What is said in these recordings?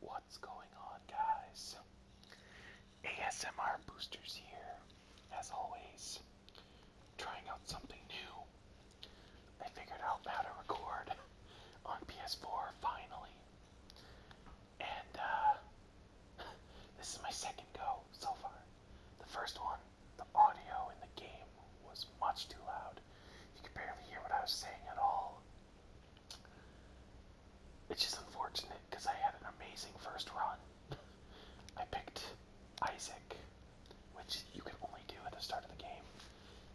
What's going on, guys? ASMR Boosters here, as always, trying out something new. I figured out how to record on PS4 finally. And, uh, this is my second go so far. The first one, the audio in the game was much too loud. You could barely hear what I was saying at all. Which is unfortunate because I had an amazing first run. I picked Isaac, which you can only do at the start of the game.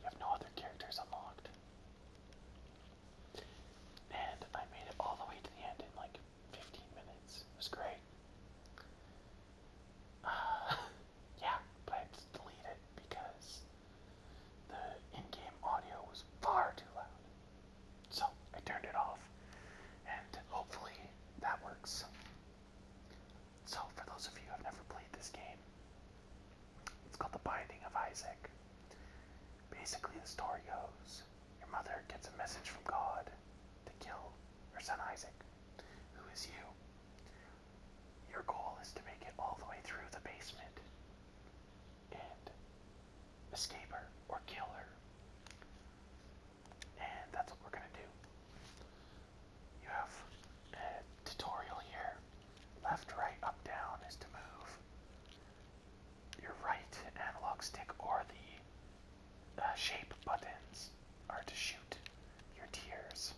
You have no other characters unlocked. And I made it all the way to the end in like 15 minutes. It was great. yeah, but I deleted because the in-game audio was far too loud. So I turned it off, and hopefully that works. So for those of you who have never played this game, it's called The Binding of Isaac. Basically, the story goes your mother gets a message from God to kill her son Isaac, who is you. Your goal is to make it all the way through the basement and escape her or kill her. And that's what we're going to do. You have a tutorial here. Left, right, up, down is to move. Your right analog stick or the uh, shape buttons are to shoot your tears.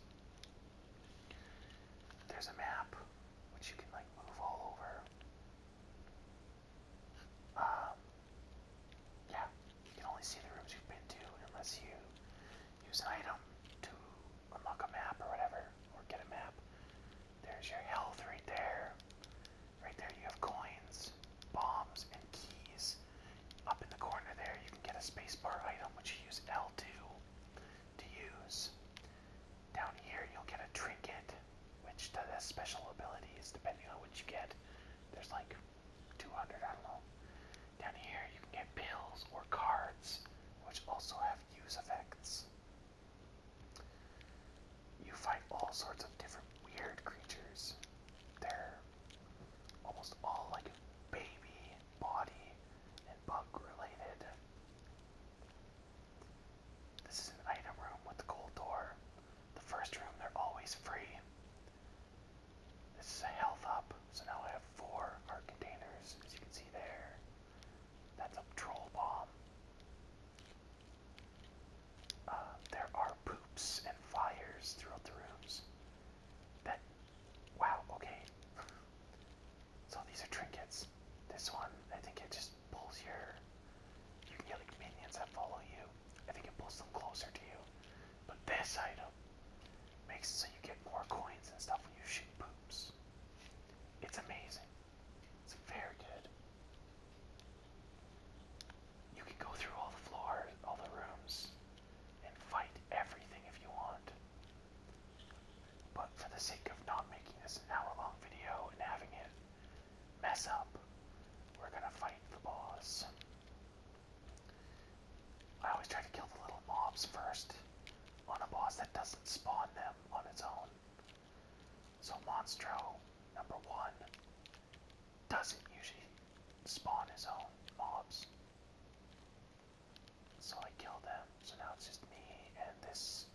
There's a map which you can like move all over. Um, yeah, you can only see the rooms you've been to unless you use an item to unlock a map or whatever, or get a map. There's your health right there. Right there, you have coins, bombs, and keys. Up in the corner there, you can get a spacebar item which you use L2 to use. Down here, you'll get a trinket, which has special abilities depending on what you get. There's like 200, I don't know. Down here, you can get pills or cards, which also have use effects. You fight all sorts of different weird creatures. They're almost all like a baby body and bug related. This is an item room with a gold door. The first room, they're always free. This is a health up, so now I have four art containers, as you can see there. That's a troll bomb. Uh, there are poops and fires throughout the rooms. That, wow, okay. So these are trinkets. This one, I think it just pulls your. You get like minions that follow you. I think it pulls them closer to you. But this item makes it so you get more coins and stuff when you shoot poops. It's amazing. It's very good. You can go through all the floors, all the rooms, and fight everything if you want. But for the sake of not making this an hour long video and having it mess up, we're gonna fight the boss. I always try to kill the little mobs first on a boss that doesn't spawn them on its own. So Monstro, number one, doesn't usually spawn his own mobs. So I killed them. So now it's just me and this.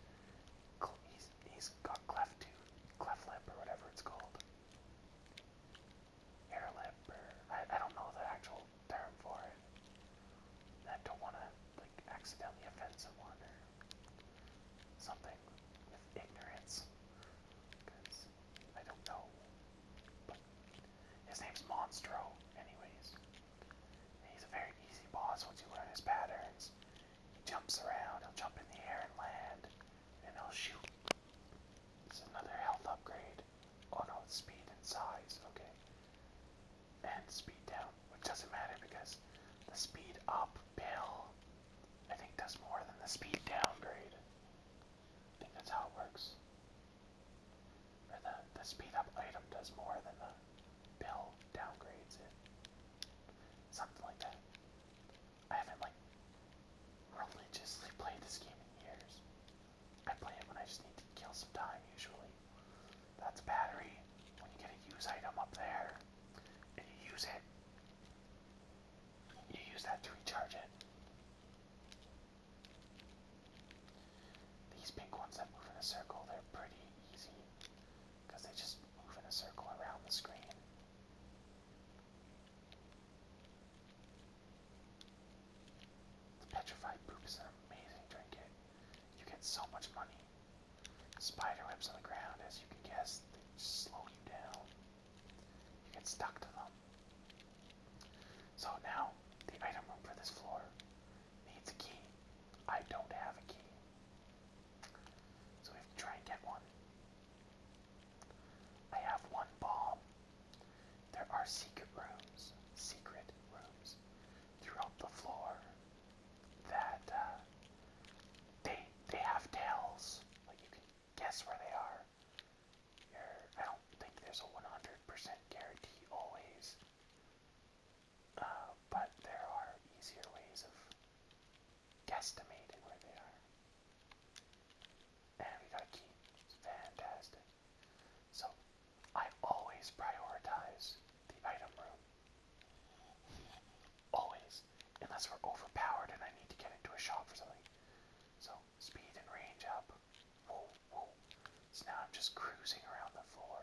He's, he's got cleft tooth, cleft lip, or whatever it's called. Air lip, or I, I don't know the actual term for it. I don't want to like accidentally offend someone or something with ignorance, because I don't know. But his name's Monstro, anyways. He's a very easy boss once you learn his patterns. He jumps around, he'll jump in the air and land, and he'll shoot. It's another health upgrade. Oh no, it's speed and size, okay. And speed down, which doesn't matter because the speed up pill, I think, does more than the speed downgrade. I think that's how it works. Or the, the speed up item does more than the bill downgrades it. Something like that. I haven't like religiously played this game in years. I play it when I just need to kill some time usually. That's battery. When you get a use item up there and you use it, you use that to recharge it. These pink ones that move in a circle, they're pretty easy because they just move in a circle around the screen. petrified poop is an amazing trinket. You get so much money. Spider on the ground, as you can guess, slow you down. You get stuck to them. So now, the item room for this floor needs a key. I don't have a key. So we have to try and get one. I have one bomb. There are secret rooms, secret rooms throughout the floor that uh, they they have tails. Like you can guess where they are. are I don't think there's a 100% guarantee always uh, but there are easier ways of guesstimating where they are. And we got a key. fantastic. So I always prioritize the item room. Always. Unless we're overpowered and I need to get into a shop for something. So speed and range up. Whoa, whoa. So now I'm just cruising around the floor.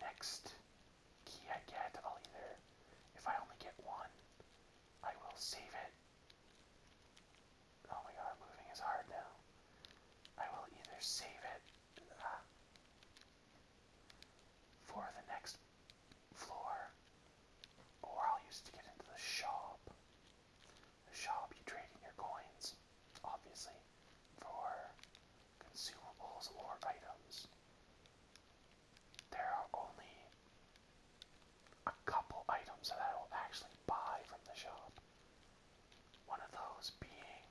Next key I get, I'll either, if I only get one, I will save it. Oh my god, moving is hard now. I will either save it ah, for the next floor. Or I'll use to get into the shop. The shop, you trade in your coins, obviously, for consumables or items. There are only a couple items that I will actually buy from the shop. One of those being,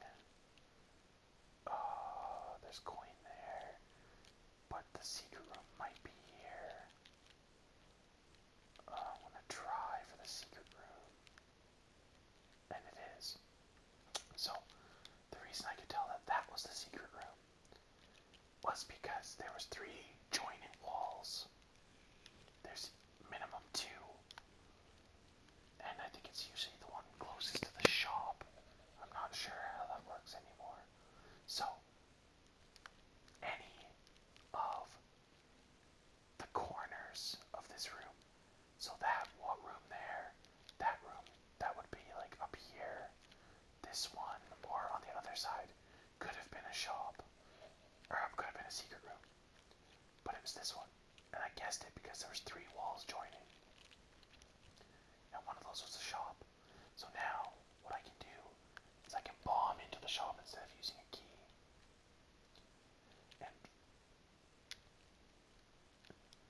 uh, there's coin there, but the secret room might be here. I want to try for the secret room. And it is. So, the reason I could tell that that was the secret room was because there was three joining walls. There's minimum two. And I think it's usually the one closest to the shop. I'm not sure how that works anymore. So, any of the corners of this room. So that what room there, that room, that would be like up here, this one, or on the other side, could have been a shop, or um, could have been a secret room. But it was this one, and I guessed it because there was three walls joining, and one of those was a shop. So now, what I can do is I can bomb into the shop instead of using a key.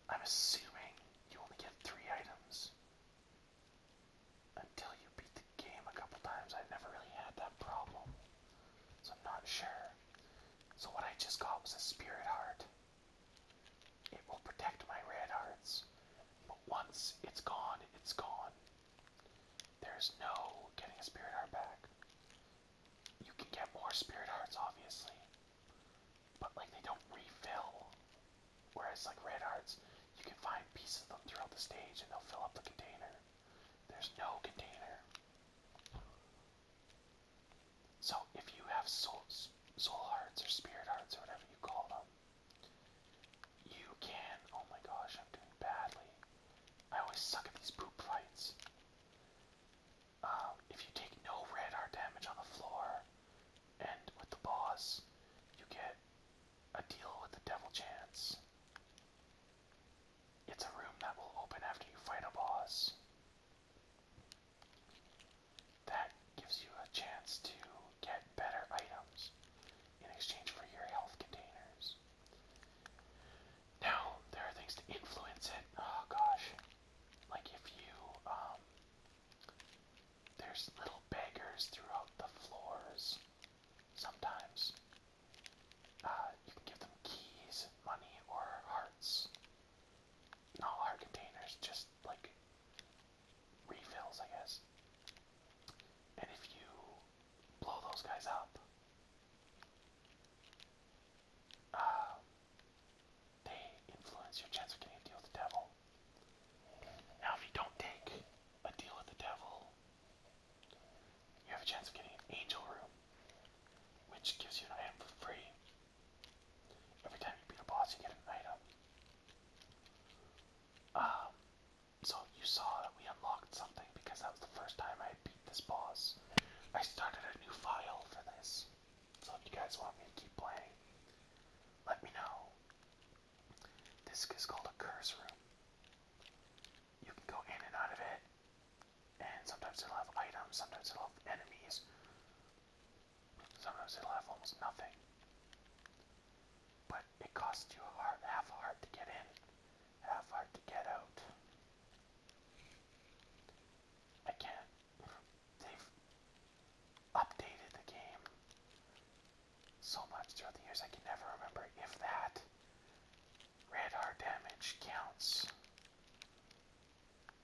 I'm assuming you only get three items until you beat the game a couple times. I've never really had that problem, so I'm not sure. So, what I just got was a spirit heart. It will protect my red hearts, but once it's gone, it's gone. There's no getting a spirit heart back. You can get more spirit hearts, obviously, but like they don't refill. Whereas like red hearts, you can find pieces of them throughout the stage and they'll fill up the container. There's no container. So if you have soul, soul hearts or spirit hearts or whatever you call them, you can. Oh my gosh, I'm doing badly. I always suck at these poop fights. Um, if you take no red heart damage on the floor and with the boss, you get a deal with the devil chance. It's a room that will open after you fight a boss. That gives you a chance to get better items in exchange for your health containers. Now, there are things to influence it. Oh gosh. Like if you, um, there's little beggars throughout the floors. Sometimes uh, you can give them keys, money, or hearts. Not heart containers, just like refills, I guess. And if you blow those guys up, um, they influence your chance of getting a deal with the devil. Now, if you don't take a deal with the devil, you have a chance of getting an angel room, which gives you an item for free. Every time you beat a boss, you get an item. Um, so you saw that we unlocked something because that was the first time I beat this boss. I started a new file for this. So if you guys want me to keep playing, let me know. This is called a curse room. You can go in and out of it, and sometimes it'll have items, sometimes it'll have enemies, sometimes it'll have almost nothing but it costs you a heart, half a heart to get in, half a heart to get out. I can't. They've updated the game so much throughout the years I can never remember if that radar damage counts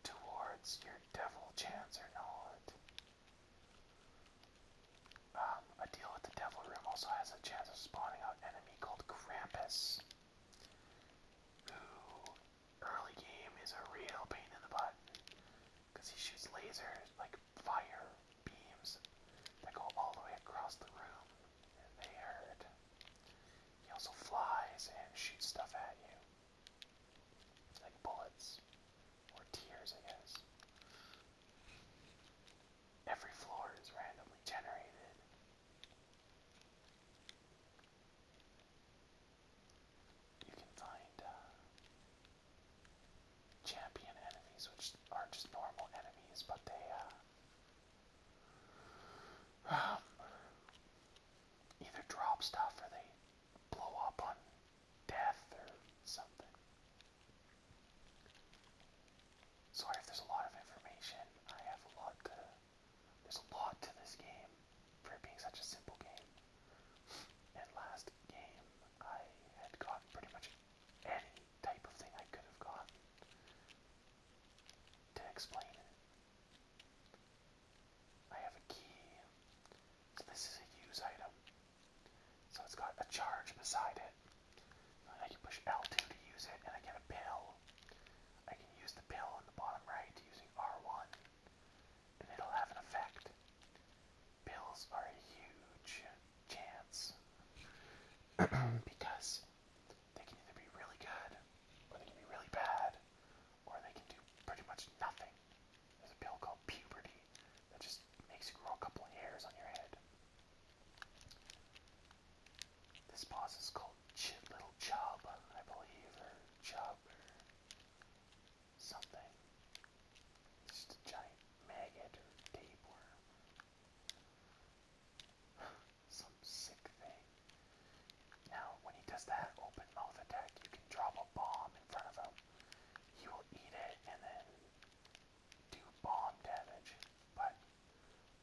towards your devil chance or not. Um, a deal with the Devil Room also has a chance of spawning out an enemy called Krampus, who early game is a real pain in the butt because he shoots lasers like fire beams that go all the way across the room, and they hurt. He also flies and shoots stuff at you, like bullets or tears, I guess. Every floor is randomly generated. You can find uh, champion enemies, which are just normal enemies, but they, uh, either drop stuff or they blow up on death or something. Sorry if there's a lot of information. I have a lot to. There's a lot to this game for it being such a simple game. And last game, I had gotten pretty much any type of thing I could have gotten to explain it. I have a key. this is a use item. So it's got a charge beside it. I can push L2 to use it, and I get a pill. I can use the pill on the bottom right using R1, and it'll have an effect. Pills are a huge chance because they can either be really good, or they can be really bad, or they can do pretty much nothing. There's a pill called puberty that just makes you grow a couple of hairs on your head. This boss is called Chit Little Chub, I believe, or Chob, or something. just a giant maggot or tapeworm. Some sick thing. Now, when he does that open mouth attack, you can drop a bomb in front of him. He will eat it and then do bomb damage, but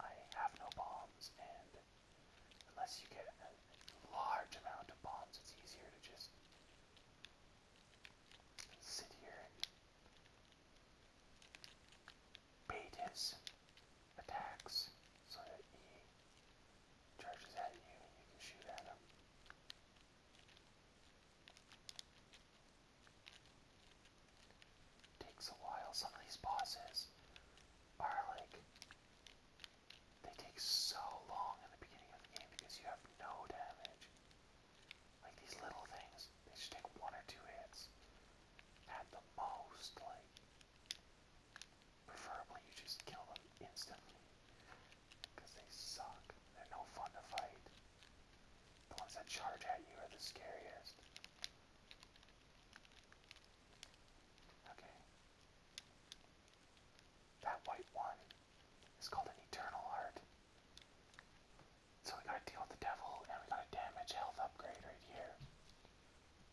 I have no bombs, and unless you get a large amount of bombs, it's easier to just sit here and bait his attacks so that he charges at you and you can shoot at him. Takes a while. Some of these bosses are like they take so long in the beginning of the game because you have no damage. Like these little things, they should take one or two hits at the most. Like preferably you just kill them instantly because they suck. They're no fun to fight. The ones that charge at you are the scariest. Okay. That white one is called an Eternal Heart. So we gotta deal with the devil and we gotta damage health upgrade right here.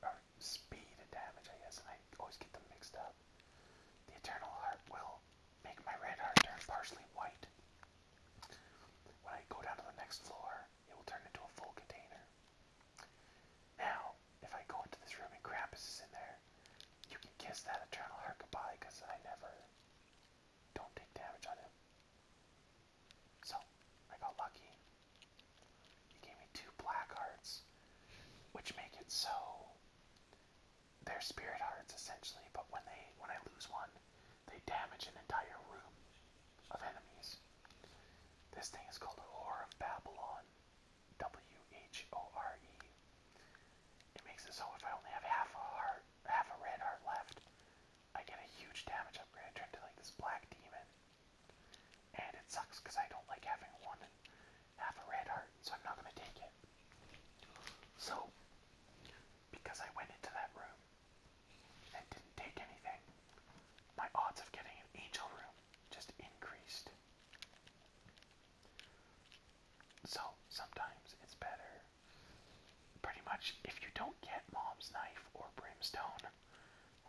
Or speed and damage, I guess, and I always get them mixed up. The Eternal Heart will make my red heart turn partially white. When I go down to the next floor, it will turn into a full container. Now, if I go into this room and Krampus is in there, you can kiss that eternal heart goodbye I never don't take damage on him. So, I got lucky. He gave me two black hearts, which make it so their spirit hearts essentially, but when they when I lose one, they damage an entire room of enemies. This thing is called Horror of Babylon. W-H-O-R-E. It makes it so if I only have half a heart half a red heart left, I get a huge damage upgrade. I turn to like this black demon. And it sucks because I don't like having one half a red heart, so I'm not gonna take it. So because I went into that room and didn't take anything, my odds of getting an angel room just increased. So sometimes it's better. Pretty much, if you don't get Mom's Knife or Brimstone,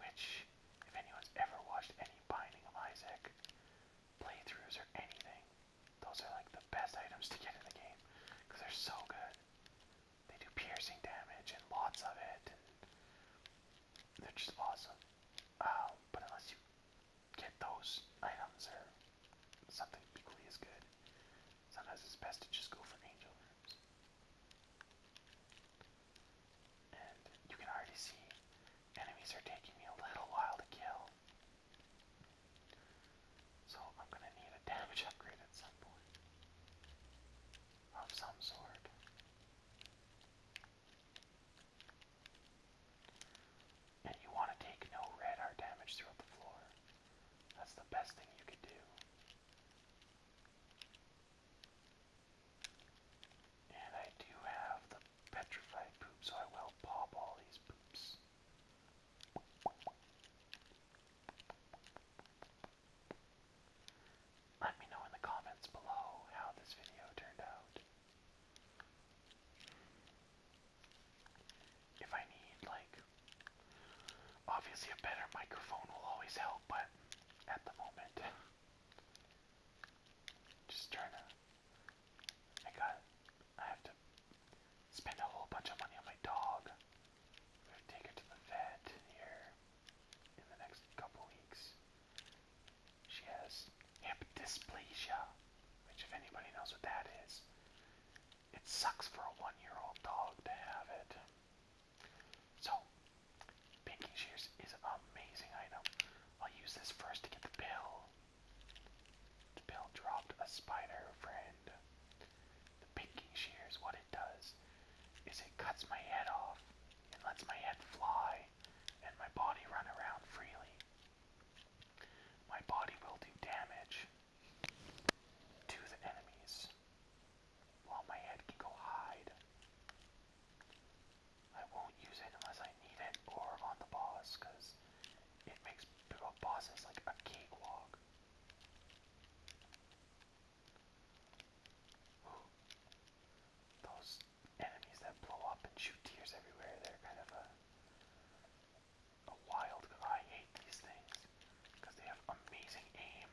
which, if anyone's ever watched any Binding of Isaac playthroughs or anything, those are like the best items to get in the game because they're so good. They do piercing damage and lots of it, and they're just awesome. Um, but unless you get those items or something equally as good, sometimes it's best to just go for angel rooms. And you can already see enemies are taking me a little while to kill. So I'm going to need a damage upgrade at some point. Of some sort. And you want to take no radar damage throughout the floor. That's the best thing you could do. And I do have the petrified poop, so I will pop all these poops. Let me know in the comments below how this video turned out. If I need, like, obviously a better microphone will always help, but at the moment, just trying to. I got I have to spend a whole bunch of money on my dog. We have to take her to the vet here in the next couple weeks. She has hip dysplasia, which if anybody knows what that is, it sucks for a one-year-old dog to have it. So, pinky shears is an amazing item. I'll use this first to get the bill. The bill dropped a spider friend. The pinking shears, what it does is it cuts my head off and lets my head fly and my body run around freely. My body will do damage to the enemies while my head can go hide. I won't use it unless I need it or on the boss because it makes bosses like a cake walk. Those enemies that blow up and shoot tears everywhere, they're kind of a wild, I hate these things because they have amazing aim.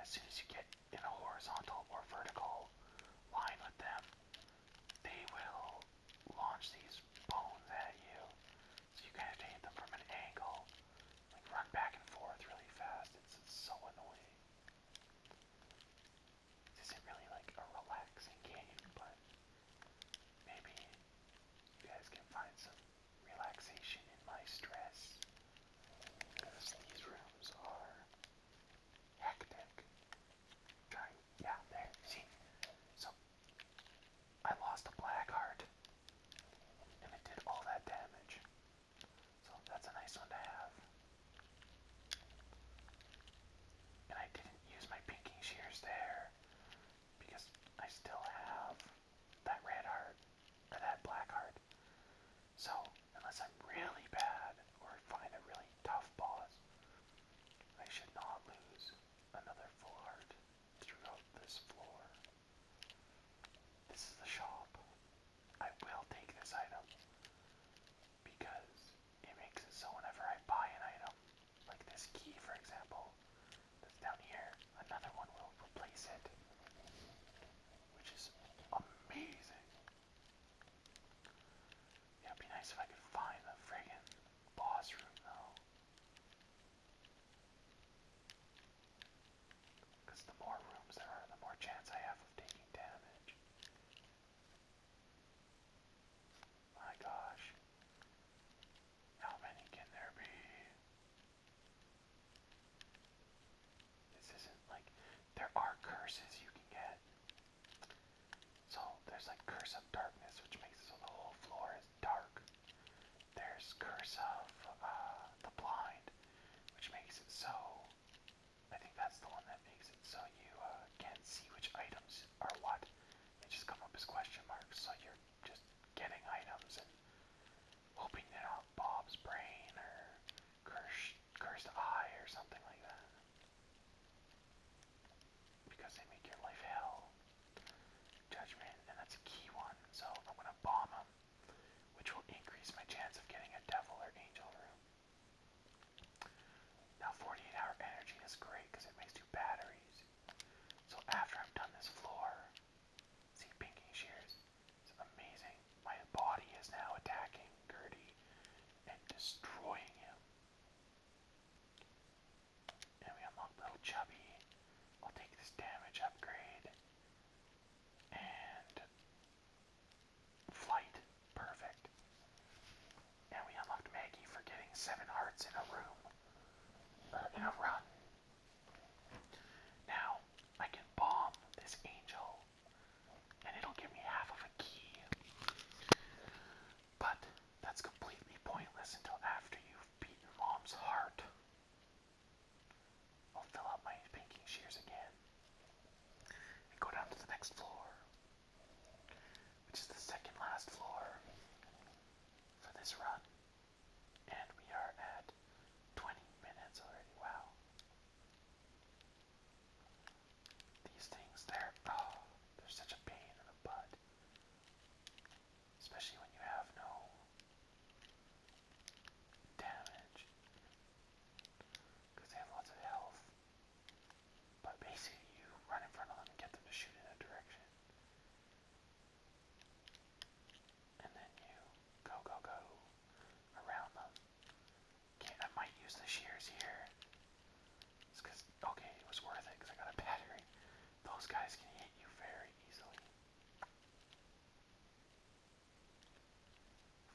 As soon as you get in a horizontal or vertical line with them, they will launch these bones at you. So you kind of hit them from an angle, like run back and forth really fast. It's, so annoying. This isn't really like a relaxing game, but maybe you guys can find some relaxation in my stress. Because these rooms are hectic. Trying yeah, there, see? So, I lost a black heart. And it did all that damage. So, that's a nice one to have. And I didn't use my pinking shears there. Because I still have that red heart. Or that black heart. So, unless I'm really bad or find a really tough boss, I should not lose another full heart throughout this floor. This is the shop. I will take this item because it makes it so whenever I buy an item, like this key for example, that's down here, another one will replace it. Which is amazing. Yeah, it'd be nice if I could find the friggin' boss room though. Because the more rooms there are, the more chance I have of taking damage. My gosh. How many can there be? This isn't like. There are curses you can get. So there's like curse of darkness, which makes so the whole floor is dark. There's curse of uh, the blind, which makes it so. I think that's the one that makes it so you uh, can't see which items are what. They just come up as question marks, so you're just getting items and hoping they're not Bob's brain or cursed, cursed eye or something like that. Because they make your life hell. Judgment, and that's a key one, so I'm gonna bomb him, which will increase my chance of getting a devil or angel room. Now 48 hour energy is great because it makes two batteries. So after I'm done this floor, see pinking shears, it's amazing. My body is now attacking Gertie and destroying him. And we unlock Little Chubby. I'll take this damage upgrade. And flight. Perfect. And we unlocked Maggie for getting seven hearts in a room. Or in a run. Now, I can bomb this angel. And it'll give me half of a key. But that's completely pointless until after you've beaten mom's heart. I'll fill out my banking shears again and go down to the next floor, which is the second last floor for this run. And we are at 20 minutes already. Wow. These things, they're, oh, they're such a pain in the butt. Especially when you have no damage. they have lots of health. But basically, you run in front of them and get them to shoot in a direction. And then you go, go, go around them. Okay, I might use the shears here. It's because, okay, it was worth it because I got a battery. Those guys can hit you very easily.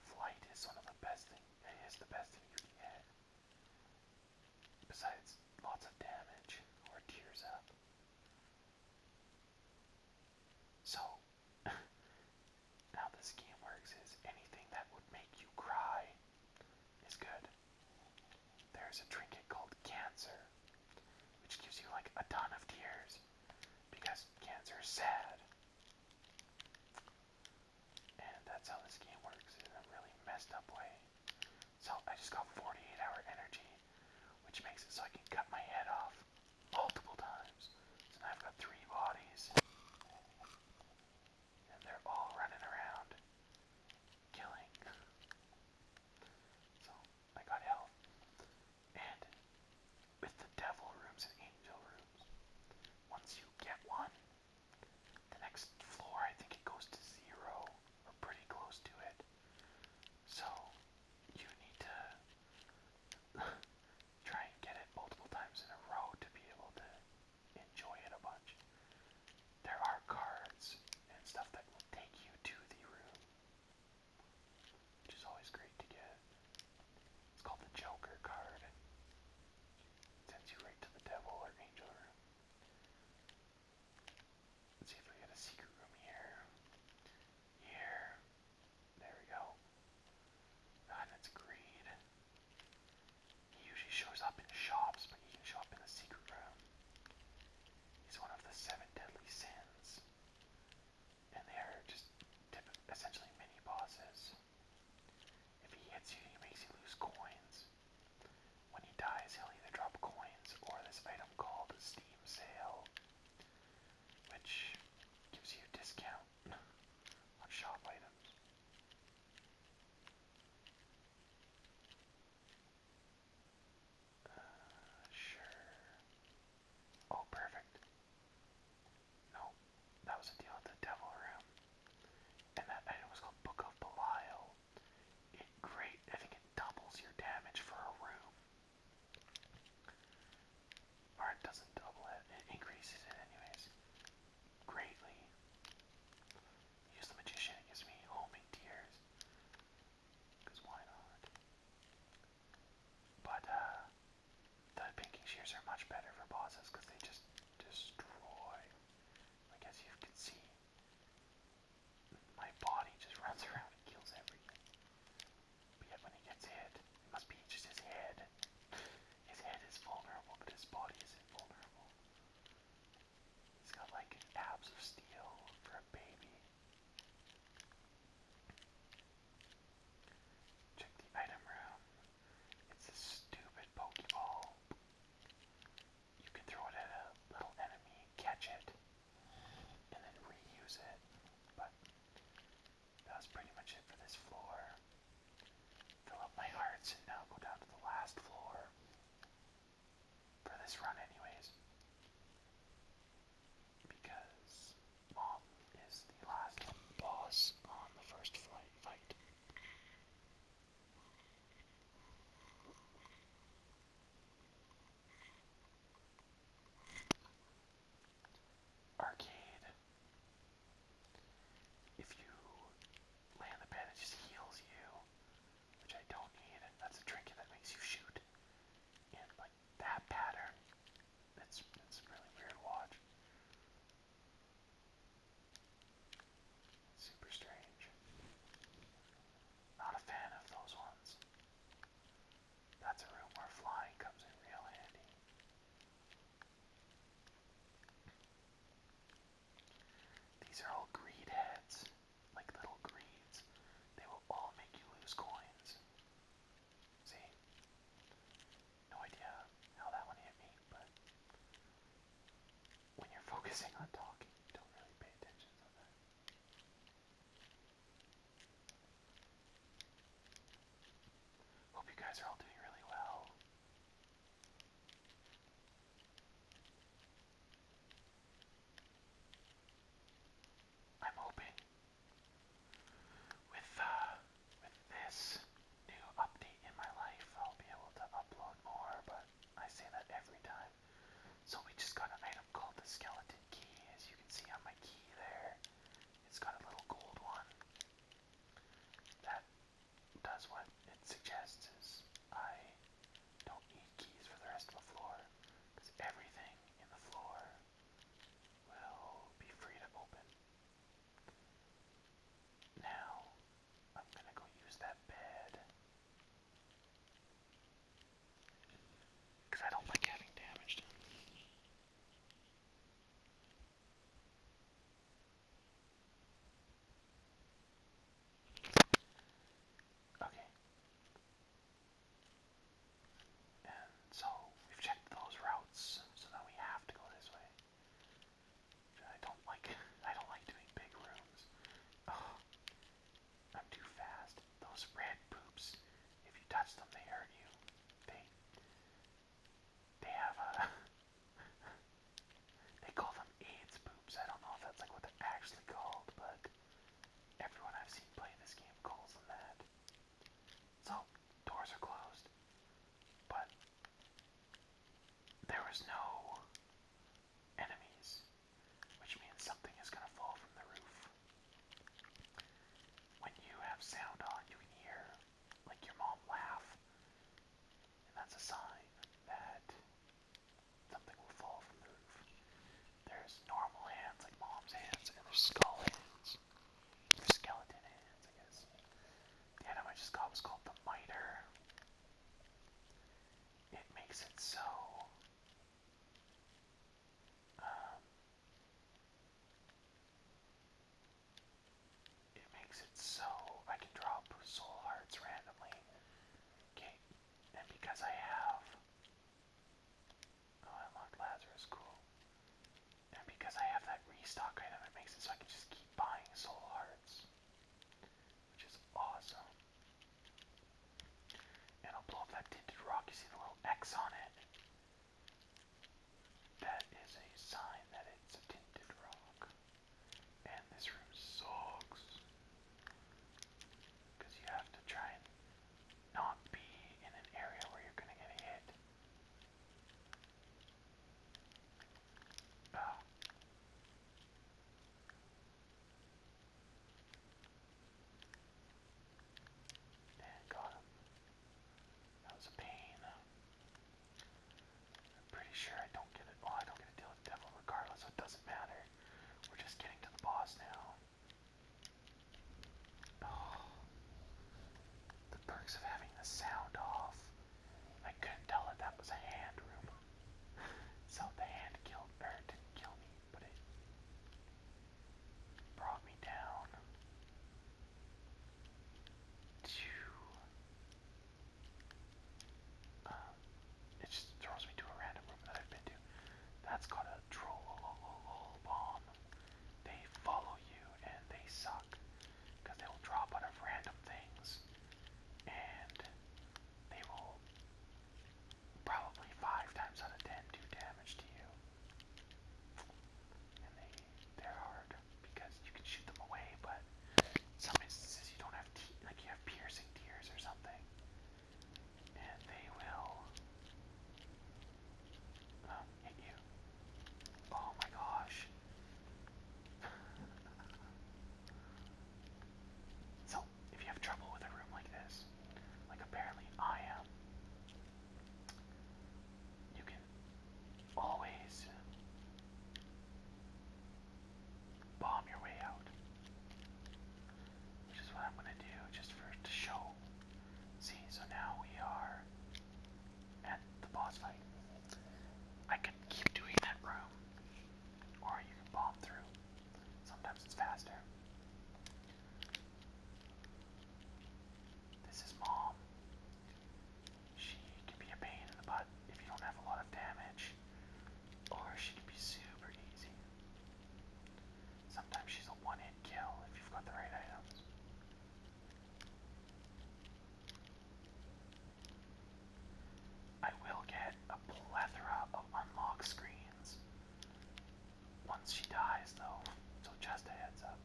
Flight is one of the best thing. It is the best thing you can get. Besides lots of damage or tears up. So, how this game works is anything that would make you cry is good. There's a trinket called Cancer, which gives you like a ton of tears because Cancer is sad. And that's how this game works in a really messed up way. So I just got 48 hour energy, which makes it so I can cut my head off multiple times. and I've got three bodies. And they're all running around killing. So I got help. And with the devil rooms and angel rooms, once you get one, the next floor I think it goes to zero or pretty close to it. So you need to try and get it multiple times in a row to be able to enjoy it a bunch there are cards and stuff that will take you to the room, which is always great to get. It's called the Joker card. It sends you right to the Devil or Angel Let's see if we get a secret room here. Here. There we go. And it's greed. He usually shows up in shops, but he can show up in the secret room. He's one of the seven deadly sins. And they are just essentially mini bosses. If he hits you, he makes you lose coins. When he dies, he'll either drop coins or this item called Steam Sale, which gives you a discount on shop items. Uh, sure. Oh, perfect. No, that was a deal with the devil room. And that item was called Book of Belial. It great, I think it doubles your damage for a room. Or it doesn't double it, it increases it anyways. Greatly use the magician. It gives me homing tears. Because why not? But uh, the pinking shears are much better for bosses because they just destroy. Like as you can see, my body just runs around and kills everything. But yet when he gets hit, it must be just his head. His head is vulnerable, but his body is invulnerable. He's got like abs of steel for a baby. Check the item room. It's a stupid Pokeball. You can throw it at a little enemy, catch it, and then reuse it. But that was pretty much it for this floor. Fill up my hearts and now go down to the last floor for this run anyways. Because Mom is the last boss on the first flight fight. Arcade. If you land the bandage, it just heals you which I don't need. That's a trinket that makes you shoot. And like that pattern, it's it's really weird to watch. Super strange. Not a fan of those ones. That's a room where flying comes in real handy. These are all greed heads like little greeds, they will all make you lose coins. See? No idea how that one hit me, but when you're focusing on talking, don't really pay attention to that. Hope you guys are all doing really well. I'm hoping with uh, with this new update in my life, I'll be able to upload more. But I say that every time. So we just got an item called the skeleton key, as you can see on my key there. It's got a little gold one. That does what it suggests is I don't need keys for the rest of the floor, because everything in the floor will be free to open. Now, I'm gonna go use that bed. I don't like having damaged Okay. And so we've checked those routes, so now we have to go this way. I don't like I don't like doing big rooms. I'm too fast. Those red poops, if you touch them they hurt you. They they have a they call them AIDS poops. I don't know if that's like what they're actually called, but everyone I've seen play this game calls them that. So, doors are closed, but there was no enemies, which means something is going to fall from the roof. When you have sound on, you can hear like your mom laugh and that's a sign that something will fall from the roof. There's normal hands, like mom's hands, and there's skull hands. There's skeleton hands, I guess. The item I just got was called the miter. It makes it so. Um, it makes it so I can drop soul hearts randomly. Okay, and because I have. Oh, I unlocked Lazarus, cool. And because I have that restock item, it makes it so I can just keep buying soul hearts. Which is awesome. And I'll blow up that tinted rock. You see the little X on it? That is a sign that it's a tinted rock. And this room sucks. Because you have to try and not be in an area where you're going to get hit. Ah. And got him. That was a pain. I'm pretty sure I don't get it. Well, I don't get to deal with the devil regardless, it doesn't matter. We're just getting to the boss now. Oh. the perks of having the sound off. I couldn't tell if that was a hand room. so the hand killed, er, didn't kill me, but it brought me down to it just throws me to a random room that I've been to. That's called a troll bomb. They follow you and they suck because they will drop out of random things and they will probably five times out of ten do damage to you. And they they're hard because you can shoot them away, but in some instances you don't have like you have piercing tears or something and they will um, hit you. Oh my gosh. so, if you have trouble with a room like this, like apparently I am, you can always bomb your way out. Which is what I'm gonna do just for to show. See, so now we are at the boss fight. I can keep doing that room, or you can bomb through. Sometimes it's faster. This is mom. She can be a pain in the butt if you don't have a lot of damage. Or she can be super easy. Sometimes she's a one hit kill if you've got the right items. I will get a plethora of unlock screens once she dies, though, so just a heads up.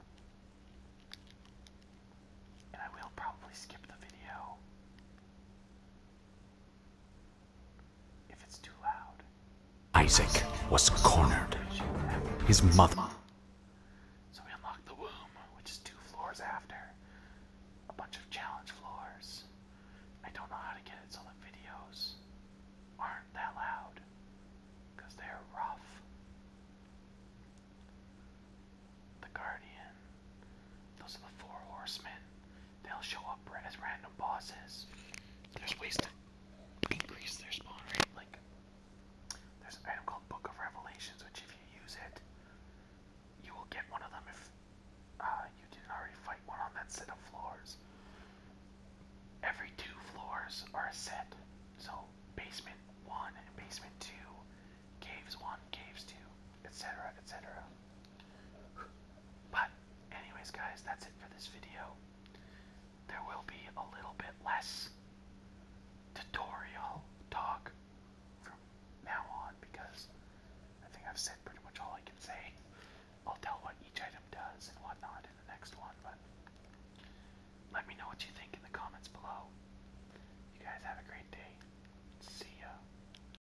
And I will probably skip the video Isaac was cornered. His mother. So we unlocked the womb, which is two floors after. A bunch of challenge floors. I don't know how to get it so the videos aren't that loud. they're rough. The Guardian. Those are the four horsemen. They'll show up as random bosses. There's ways to increase their spawn rate. Like, there's an item called Book of Revelations, which if you use it, you will get one of them if uh, you didn't already fight one on that set of floors. Every two floors are a set. So, basement 1 and basement 2, caves 1, caves 2, etc., etc. But, anyways, guys, that's it for this video. There will be a little bit less tutorial talk from now on because I think I've said pretty much all I can say. I'll tell what each item does and whatnot in the next one, but let me know what you think in the comments below. You guys have a great day. See ya.